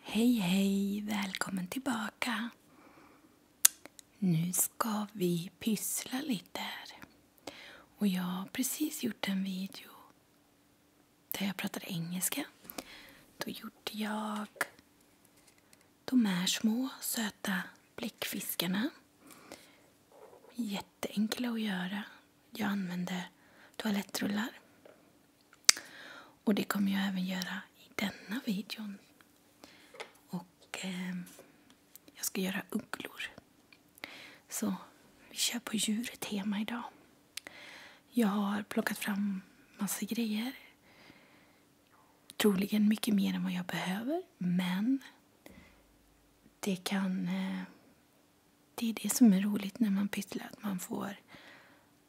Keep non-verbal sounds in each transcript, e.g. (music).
Hej hej! Välkommen tillbaka! Nu ska vi pyssla lite här. Och jag har precis gjort en video där jag pratade engelska. Då gjorde jag de här små söta bläckfiskarna. Jätteenkla att göra. Jag använde toalettrullar och det kommer jag även göra i denna videon. Och eh, jag ska göra ugglor. Så vi kör på djurtema idag. Jag har plockat fram massa grejer. Troligen mycket mer än vad jag behöver, men det kan... Eh, det är det som är roligt när man pysslar, att man får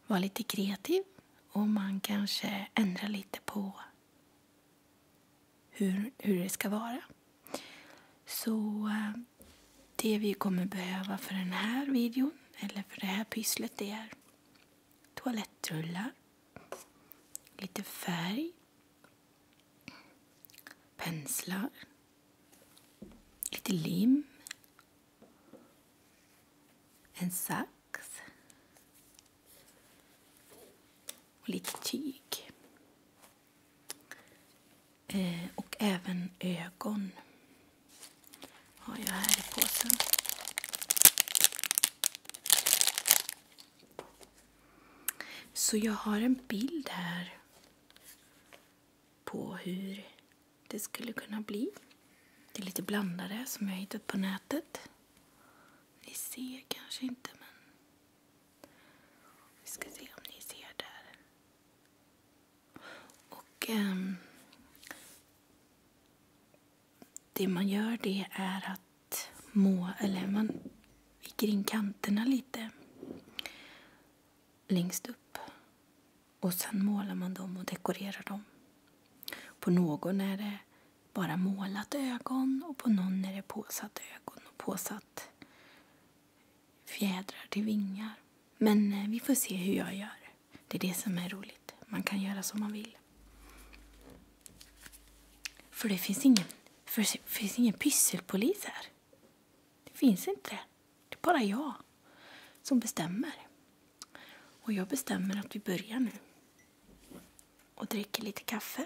vara lite kreativ och man kanske ändrar lite på hur, hur det ska vara. Så eh, det vi kommer behöva för den här videon, eller för det här pysslet, det är toalettrullar, lite färg, penslar, lite lim, en sax och lite tyg. Eh, och även ögon har jag här i påsen. Så jag har en bild här på hur det skulle kunna bli. Det är lite blandade som jag har hittat på nätet. Ni ser kanske inte, men... Vi ska se om ni ser där. Och... Um, det man gör det är att må, eller man viker in kanterna lite längst upp och sen målar man dem och dekorerar dem. På någon är det bara målat ögon och på någon är det påsatt ögon och påsatt fjädrar till vingar. Men eh, vi får se hur jag gör. Det är det som är roligt. Man kan göra som man vill. För det finns ingen, för det finns ingen pysselpolis här. Det finns inte. Det är bara jag som bestämmer. Och jag bestämmer att vi börjar nu. Och dricker lite kaffe.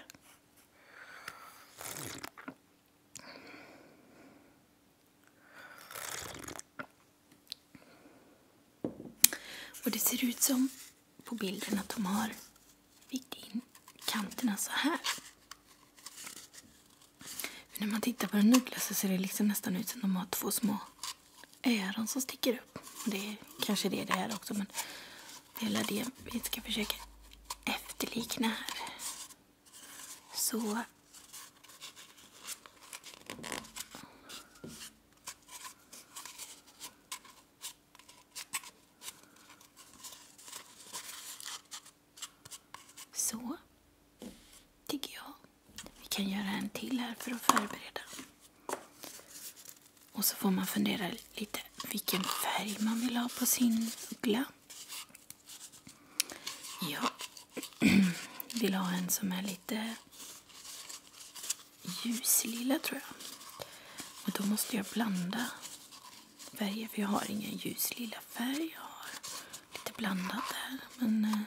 Och det ser ut som på bilden att de har vikt in kanterna så här. För när man tittar på den nudlar så ser det liksom nästan ut som de har två små öron som sticker upp. Och det är kanske det det är också men det är det vi ska försöka efterlikna här. Så så, tycker jag. Vi kan göra en till här för att förbereda. Och så får man fundera lite vilken färg man vill ha på sin uggla. Jag (clears throat) vill ha en som är lite ljuslila tror jag. Och då måste jag blanda färger för jag har ingen ljuslila färg. Jag har Lite blandat där, men... Eh.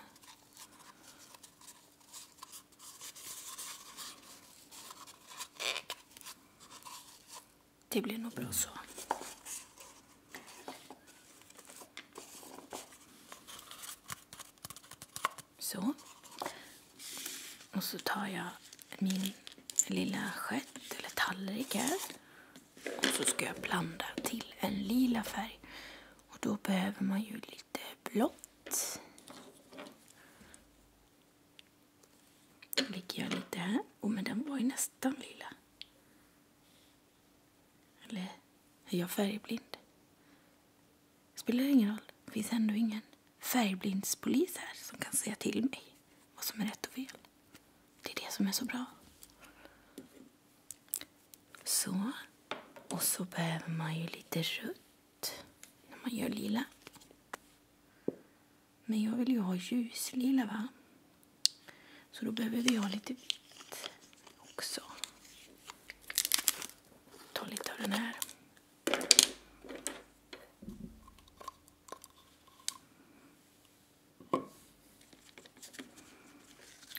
det blir nog bra så. Så. Och så tar jag min lilla skett eller tallrik här och så ska jag blanda till en lila färg. Och då behöver man ju lite blått. Då Lägger jag lite här. Oh, men den var ju nästan lila. Eller är jag färgblind? Spelar ingen roll. Det finns ändå ingen färgblindspolis här som kan säga till mig vad som är rätt och fel. Det är det som är så bra. Så. Och så behöver man ju lite rött när man gör lila. Men jag vill ju ha ljuslila, va? Så då behöver vi ha lite vitt också. Ta lite av den här.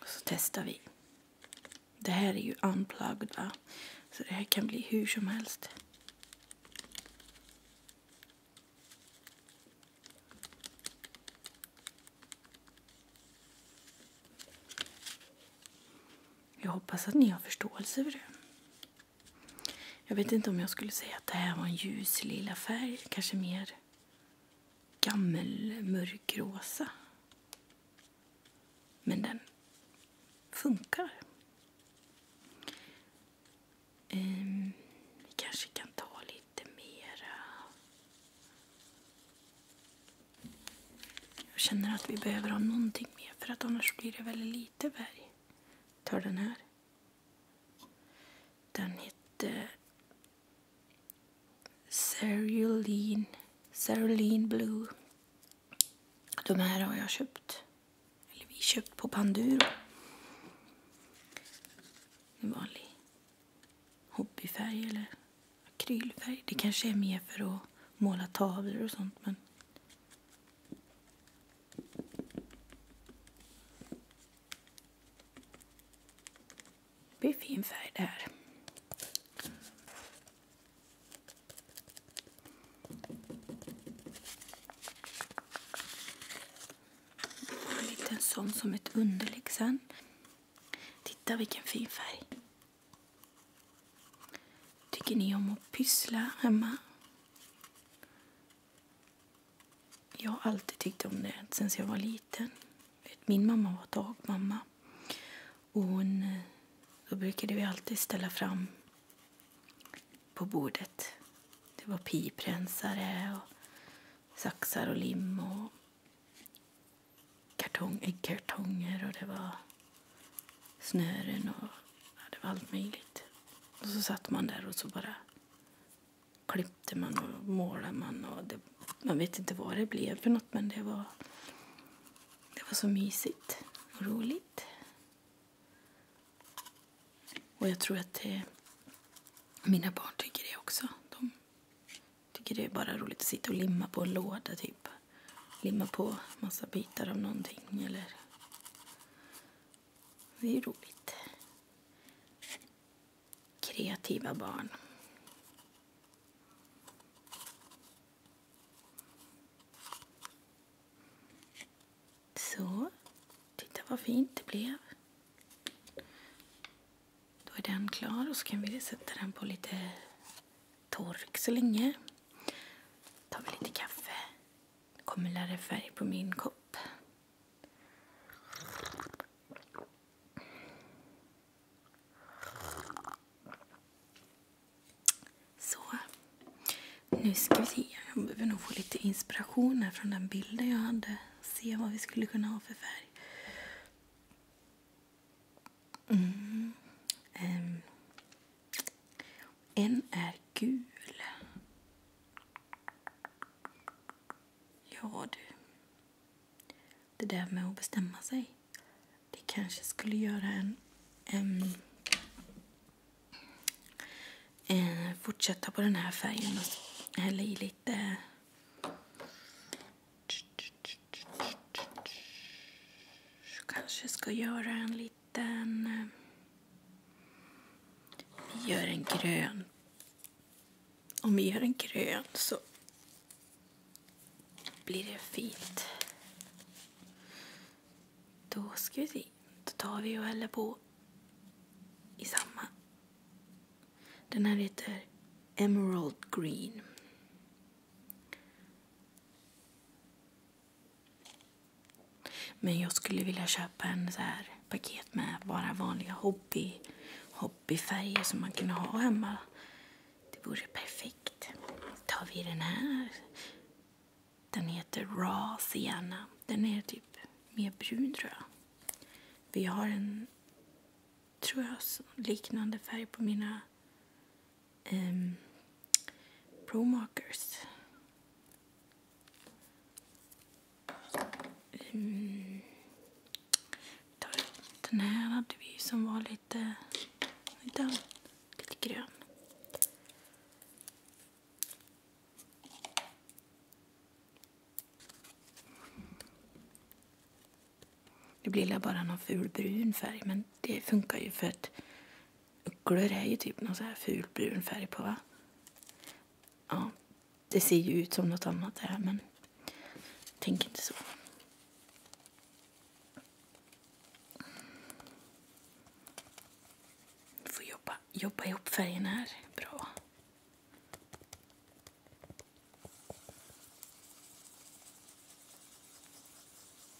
Så testar vi. Det här är ju unplugged va? Så det här kan bli hur som helst. Jag hoppas att ni har förståelse för det. Jag vet inte om jag skulle säga att det här var en ljus lila färg, kanske mer mörkrosa Men den funkar. Ehm, vi kanske kan ta lite mera. Jag känner att vi behöver ha någonting mer för att annars blir det väldigt lite färg. Tar den här. Den hette Cerulean, Cerulean Blue. De här har jag köpt, eller vi köpt på Panduro. En vanlig hobbyfärg eller akrylfärg. Det kanske är mer för att måla tavlor och sånt men det blir fin färg det här. En liten sån som ett underlägg sen. Titta vilken fin färg. Tycker ni om att pyssla hemma? Jag har alltid tyckt om det sen jag var liten. Min mamma var dagmamma. Och hon, eh, då brukade vi alltid ställa fram på bordet. Det var piprensare, och saxar och lim och kartong, äggkartonger och det var snören och ja, det var allt möjligt. Och så satt man där och så bara klippte man och målade man. Och det, man vet inte vad det blev för något men det var, det var så mysigt och roligt. Och jag tror att det, eh, mina barn tycker det också. De tycker det är bara roligt att sitta och limma på en låda typ. Limma på massa bitar av någonting eller det är ju roligt. Kreativa barn. Så. Titta vad fint det blev. Då är den klar och så kan vi sätta den på lite tork så länge. Då Tar vi lite kaffe. Det kommer lärare färg på min kopp. Så. Nu ska vi se. Jag behöver nog få lite inspiration här från den bilden jag hade. Se vad vi skulle kunna ha för färg. Mm. Um. En är gul. Ja du. Det där med att bestämma sig. Det kanske skulle göra en... en eh, fortsätta på den här färgen och hälla i lite... Kanske ska göra en liten... Eh, vi gör en grön. Om vi gör en grön så blir det fint. Då ska vi se. Då tar vi och häller på i samma. Den här heter Emerald Green. Men jag skulle vilja köpa en så här paket med bara vanliga hobby, hobbyfärger som man kan ha hemma. Det vore perfekt. tar vi den här. Den heter Raw Sienna. Den är typ mer brun, tror jag. Vi har en, tror jag, liknande färg på mina um, Pro Mm. Den här hade vi som var lite, eh, lite, lite grön. Det blir bara någon ful brun färg men det funkar ju för att Ugglor är ju typ någon så här ful brun färg på va? Ja, det ser ju ut som något annat det här men tänk inte så. Du får jobba, jobba ihop färgerna här bra.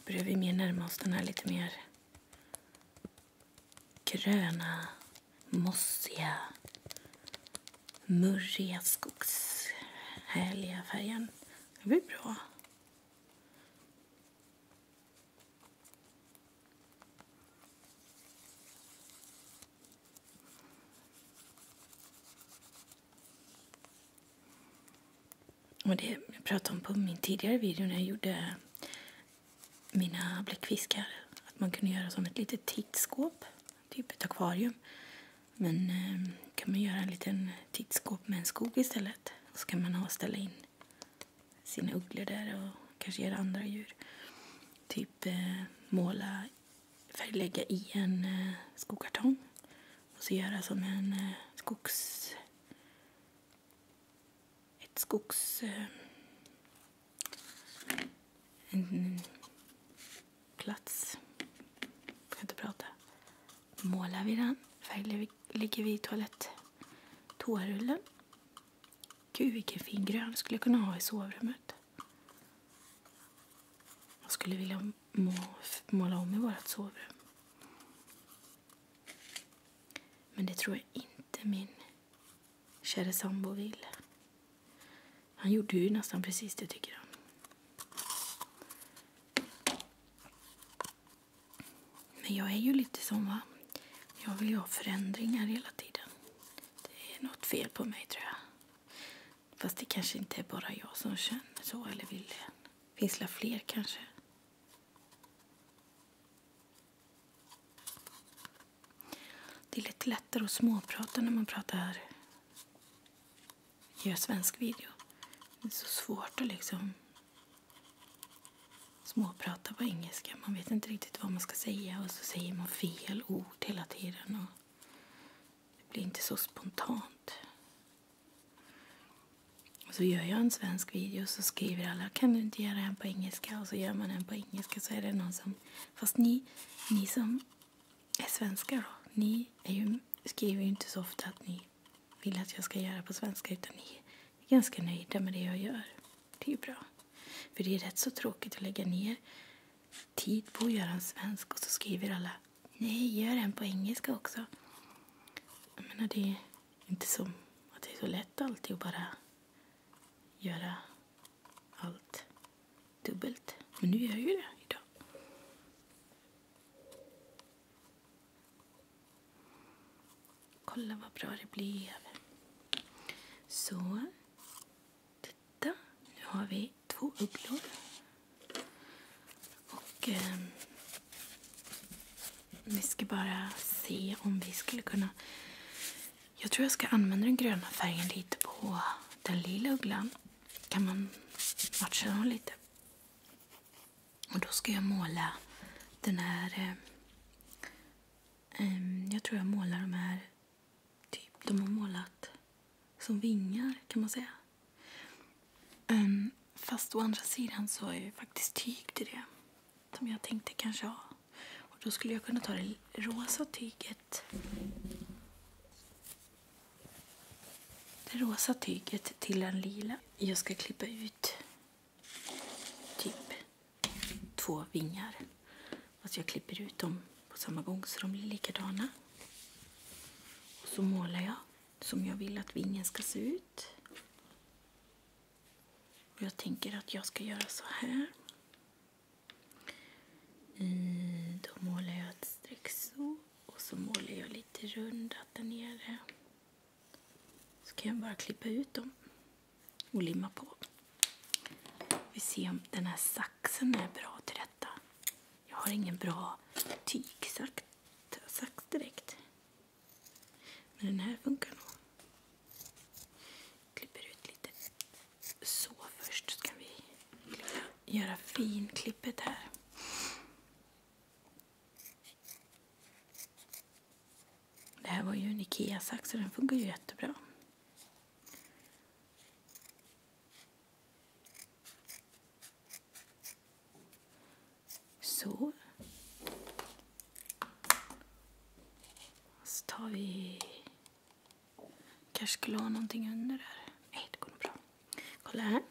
Börjar vi mer närma oss den här lite mer gröna, mossiga, murriga, skogs härliga färgen. Det blir bra. Och det jag pratade om på min tidigare video när jag gjorde mina bläckfiskar. Att man kunde göra som ett litet tittskåp, typ ett akvarium. Men eh, kan man göra en liten tittskåp med en skog istället. Och så kan man ha ställa in sina ugglor där och kanske göra andra djur. Typ eh, måla, färglägga i en eh, skokartong och så göra som en eh, skogs ett skogs... Eh, en plats. Jag kan inte prata. Målar vi den. färglägger vi toalett. Toarullen. Gud vilken fin grön skulle jag kunna ha i sovrummet. Jag skulle vilja må måla om i vårt sovrum. Men det tror jag inte min kära sambo vill. Han gjorde ju nästan precis det, tycker han. Men jag är ju lite som, va? Jag vill ju ha förändringar hela tiden. Det är något fel på mig, tror jag. Fast det kanske inte är bara jag som känner så eller vill det. Finns det fler kanske? Det är lite lättare att småprata när man pratar gör svensk video. Det är så svårt att liksom småprata på engelska. Man vet inte riktigt vad man ska säga och så säger man fel ord hela tiden. Och det blir inte så spontant. Så gör jag en svensk video och så skriver alla kan du inte göra en på engelska och så gör man en på engelska så är det någon som fast ni, ni som är svenskar då, ni är ju, skriver ju inte så ofta att ni vill att jag ska göra på svenska utan ni är ganska nöjda med det jag gör. Det är ju bra. För det är rätt så tråkigt att lägga ner tid på att göra en svensk och så skriver alla nej, gör en på engelska också. Jag menar det inte som att det är så lätt alltid att bara göra allt dubbelt. Men nu gör jag ju det idag. Kolla vad bra det blev. Så. Titta. Nu har vi två ugglor. Och eh, vi ska bara se om vi skulle kunna... Jag tror jag ska använda den gröna färgen lite på den lila ugglan. Kan man matcha dem lite. Och då ska jag måla den här... eh, ehm, jag tror jag målar de här... Typ, de har målat som vingar kan man säga. Um, fast å andra sidan så är ju faktiskt tyg till det som jag tänkte kanske ha. Och då skulle jag kunna ta det rosa tyget. Det rosa tyget till den lila. Jag ska klippa ut typ två vingar. Fast jag klipper ut dem på samma gång så de blir likadana. Och så målar jag som jag vill att vingen ska se ut ut. Och jag tänker att jag ska göra så här. Då målar jag ett streck så och så målar jag lite rundat där nere. Så kan jag bara klippa ut dem och limma på. Vi ser om den här saxen är bra till detta. Jag har ingen bra tygsax direkt. Men den här funkar nog. Klipper ut lite så först så kan vi göra finklippet här. Det här var ju en IKEA-sax så den funkar ju jättebra. Så. Så tar vi... kanske skulle ha någonting under där. Nej, det går nog bra. Kolla här.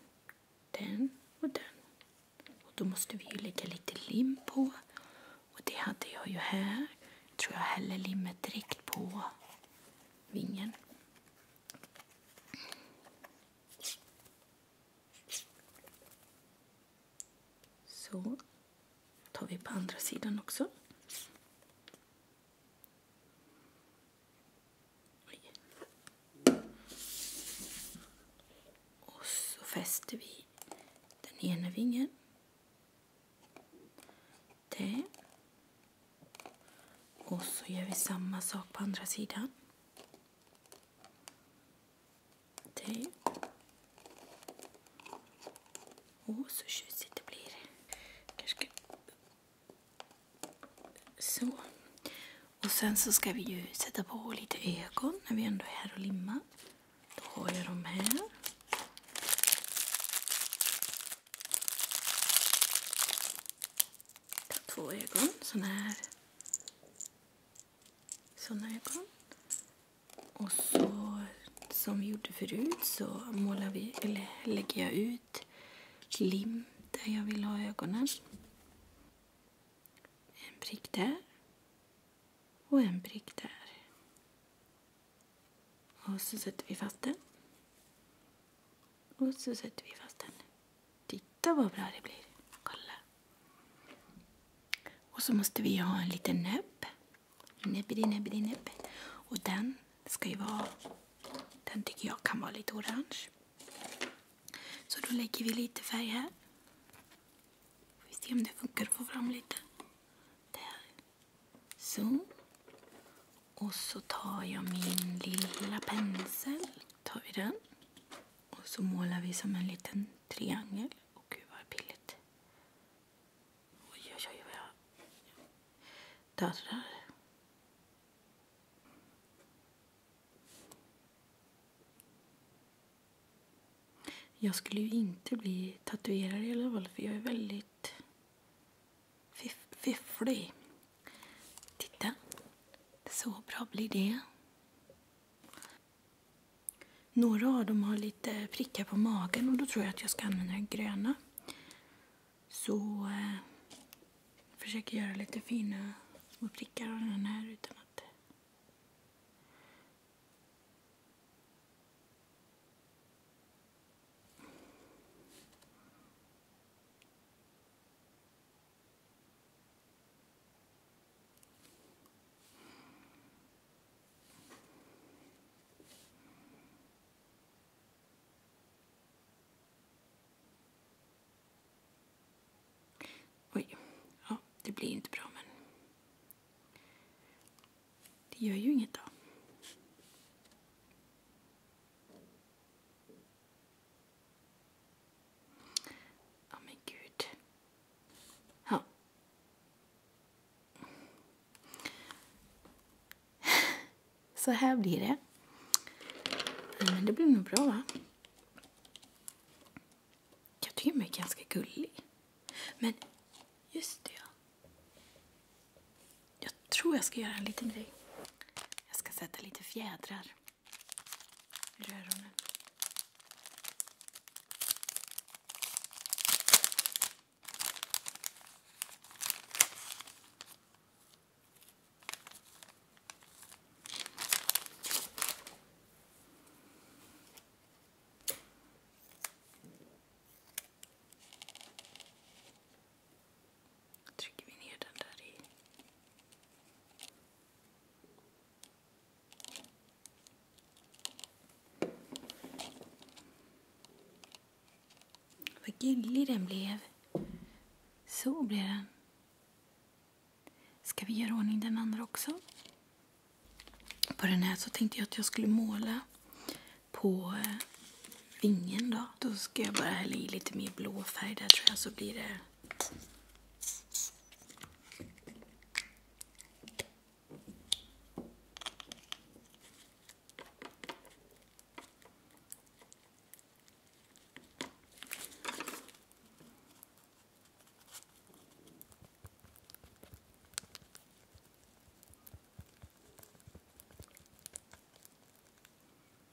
Den och den. Och då måste vi ju lägga lite lim på. Och det hade jag ju här. Jag tror jag häller limmet direkt på vingen. Så tar vi på andra sidan också. Och så fäster vi den ena vingen. där. Och så gör vi samma sak på andra sidan. Åh, oh, så tjusigt det blir. Kanske Så. Och sen så ska vi ju sätta på lite ögon när vi ändå är här och limmar. Då har jag dem här. Två ögon, sån här sådana ögon. Och så som vi gjorde förut så målar vi, eller lägger jag ut lim där jag vill ha ögonen. En prick där. Och en prick där. Och så sätter vi fast den. Och så sätter vi fast den. Tick, Titta vad bra det blir. Kolla. Och så måste vi ha en liten näbb. Näbbidi, näbbidi, näbb. Och den ska ju vara... Den tycker jag kan vara lite orange. Så då lägger vi lite färg här. vi se om det funkar att få fram lite. Där. Så. Och så tar jag min lilla pensel tar vi den och så målar vi som en liten triangel. Och gud vad pilligt. Oj, oj, oj vad jag darrar. Jag skulle ju inte bli tatuerare i alla fall för jag är väldigt fiff fifflig. Titta, så bra blir det. Några av dem har lite prickar på magen och då tror jag att jag ska använda den gröna. Så eh, försöker göra lite fina små prickar av den här utan att... Oj, ja, det blir inte bra men det gör ju inget då. Ja oh, men gud. Ja. Så här blir det. Men det blir nog bra va? Jag tycker mig ganska gullig. Men just det ja. Jag tror jag ska göra en liten grej. Jag ska sätta lite fjädrar. Röronen trycker vi ner den där i. Vad gullig den blev. Så blev den. Ska vi göra ordning den andra också? På den här så tänkte jag att jag skulle måla på eh, vingen då. Då ska jag bara hälla i lite mer blå färg där tror jag så blir det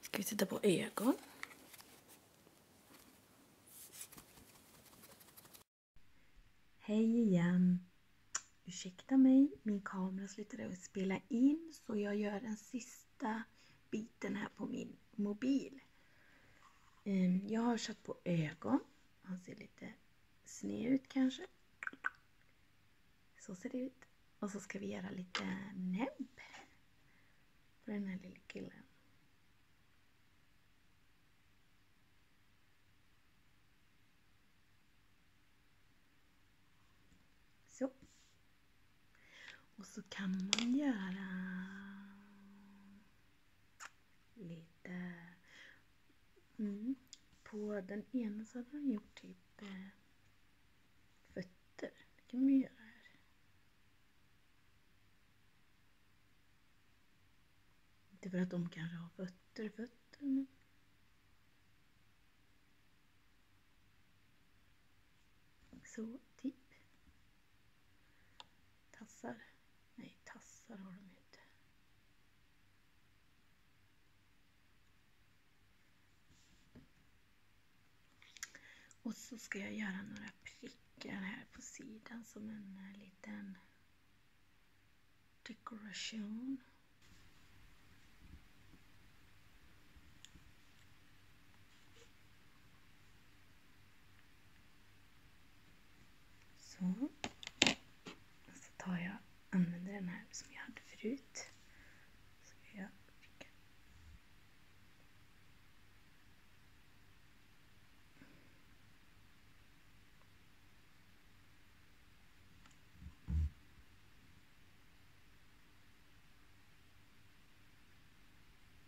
Ska vi titta på ögon? Hej igen! Ursäkta mig, min kamera slutade att spela in så jag gör en sista biten här på min mobil. Ehm, jag har satt på ögon. Han ser lite sned ut kanske. Så ser det ut. Och så ska vi göra lite näbb på den här lilla killen. Och så kan man göra lite mm, på den ena så hade man gjort typ eh, fötter. Det kan man göra här. Inte för att de kanske har fötter, fötter men så typ. Tassar? Nej, tassar har de ju inte. Och så ska jag göra några prickar här på sidan som en eh, liten dekoration. Så. Och så tar jag, använder den här som jag hade förut.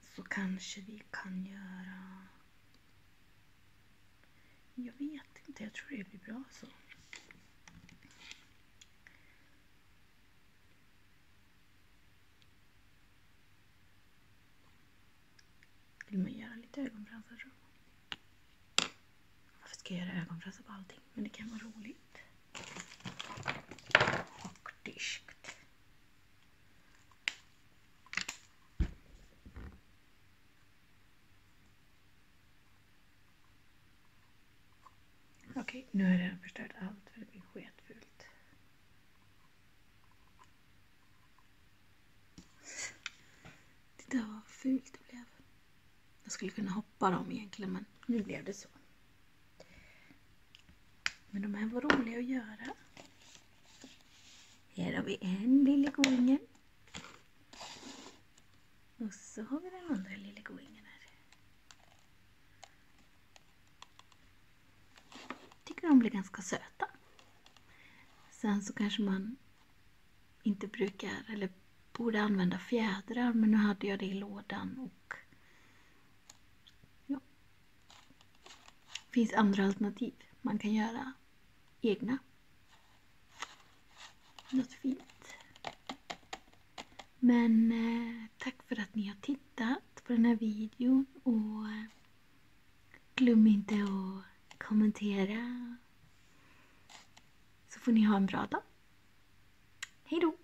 Så kanske vi kan göra... Jag vet inte, jag tror det blir bra så. Vill man göra lite ögonfransar tror jag. Varför ska jag göra ögonfransar på allting? Men det kan vara roligt. Och diskt. Okej, nu har jag redan förstört allt för det blir sketfult. Titta vad fult det blev. Jag skulle kunna hoppa dem egentligen men nu blev det så. Men de här var roliga att göra. Här har vi en lille goingen. Och så har vi den andra lille goingen här. Tycker de blir ganska söta. Sen så kanske man inte brukar, eller borde använda fjädrar, men nu hade jag det i lådan och Ja. finns andra alternativ. Man kan göra egna. Något fint. Men eh, tack för att ni har tittat på den här videon och eh, glöm inte att kommentera. Så får ni ha en bra dag. Hejdå!